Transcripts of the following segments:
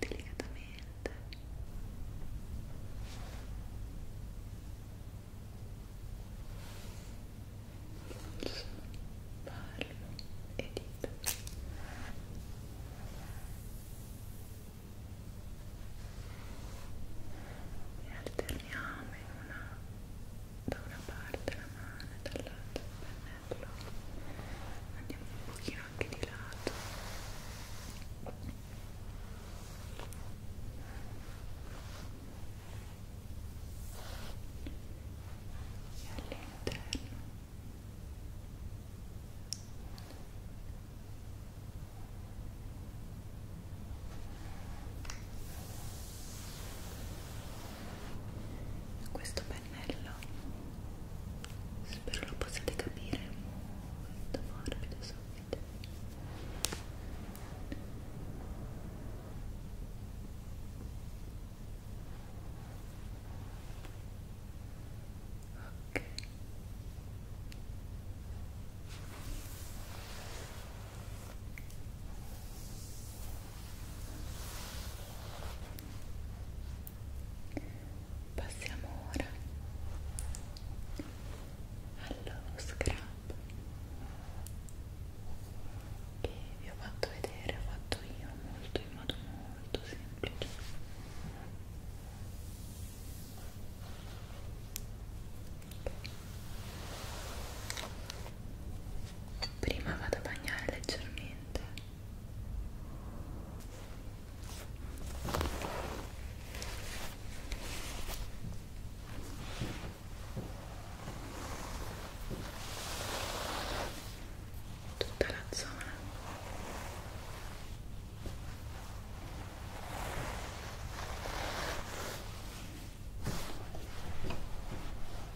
delicatamente polso, palmo e dita e alterniamo in una da una parte la mano e dall'altra la bello andiamo un pochino anche di lato e all'interno e questo pennello spero lo possiate capire molto morbido subito ok Passiamo ora allo scrub che vi ho fatto vedere, ho fatto io molto in modo molto semplice. Okay prima vado a bagnare leggermente tutta la zona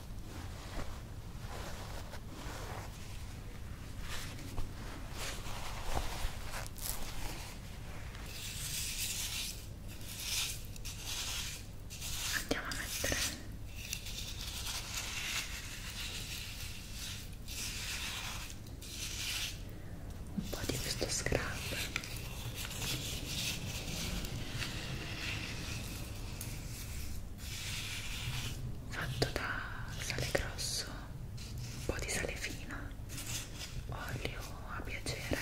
Andiamo a mettere un po' di questo scrub fatto da sale grosso, un po' di sale fino, olio a piacere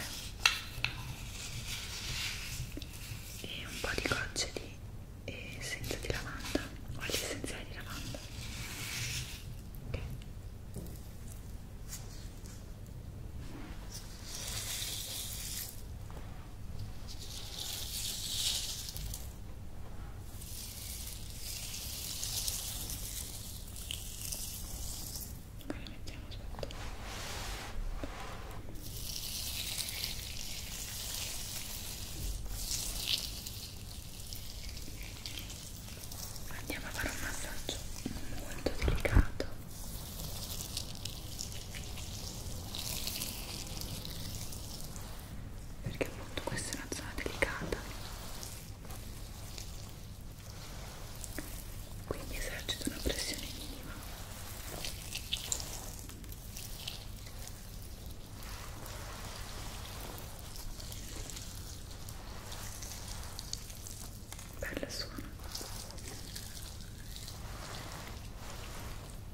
e un po' di gocce di essenza di lavanda, olio essenziale di lavanda. Okay. Poi la mettiamo sotto. Andiamo a fare un massaggio molto delicato perché appunto questa è una zona delicata quindi esercito una pressione minima Bella suona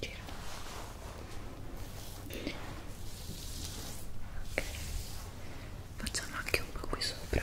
Gira. Okay. Facciamo anche un po' qui sopra.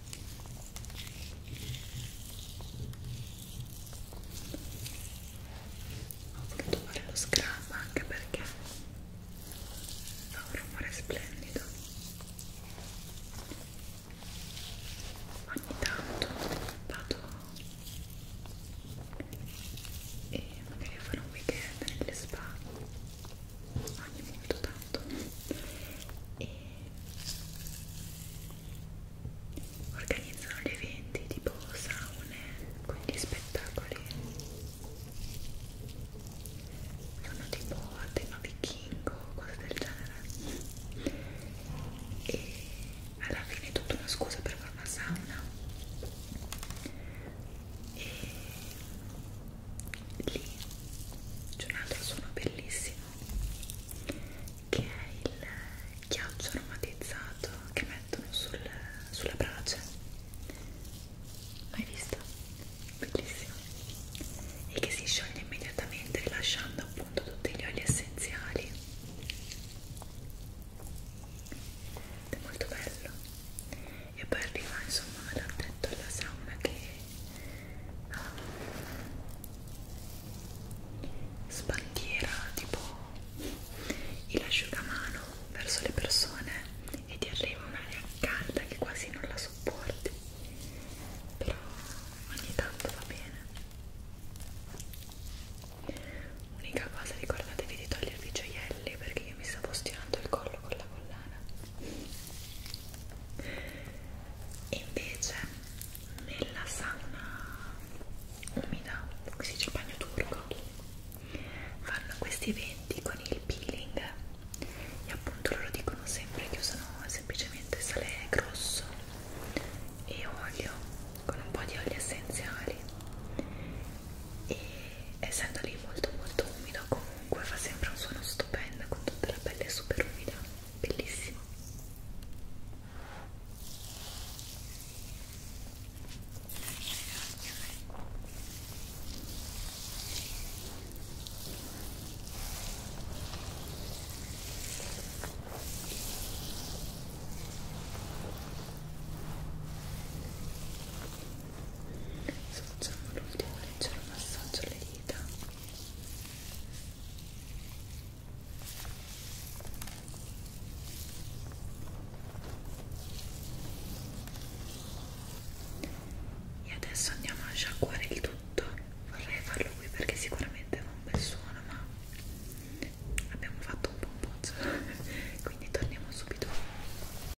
ho voluto fare lo scrub anche perché fa un rumore splendido ogni tanto vado e magari a fare un weekend nelle spa ogni molto tanto e organizzano gli eventi tipo saune, quindi spettacoli sono tipo a tema vichingo, cose del genere e alla fine è tutta una scusa per fare una sauna e lì c'è un altro suono bellissimo che è il ghiaccio aromatizzato che mettono sul, sulla brace l'hai visto? bellissimo e che si scioglie immediatamente rilasciando appunto tutti gli oli essenziali ed è molto bello e poi arriva insomma me l'ha detto alla sauna che um, sbandiera tipo il asciugamano verso le persone e ti arriva un'aria calda che quasi non la sopporti però ogni tanto va bene unica cosa ricordatevi di togliervi i gioielli perché io mi stavo stirando il collo con la collana invece nella sauna umida si dice il bagno turco fanno questi eventi con il peeling e appunto loro dicono sempre che usano semplicemente sale grosso e olio con un po' di oli essenziali e essendo lì molto molto umido comunque fa sempre un suono stupendo con tutta la pelle super umida bellissimo Adesso facciamo l'ultimo leggero massaggio alle dita e adesso andiamo a sciacquare il tutto vorrei farlo qui perché sicuramente fa un bel suono ma abbiamo fatto un po' un pozzo cioè, quindi torniamo subito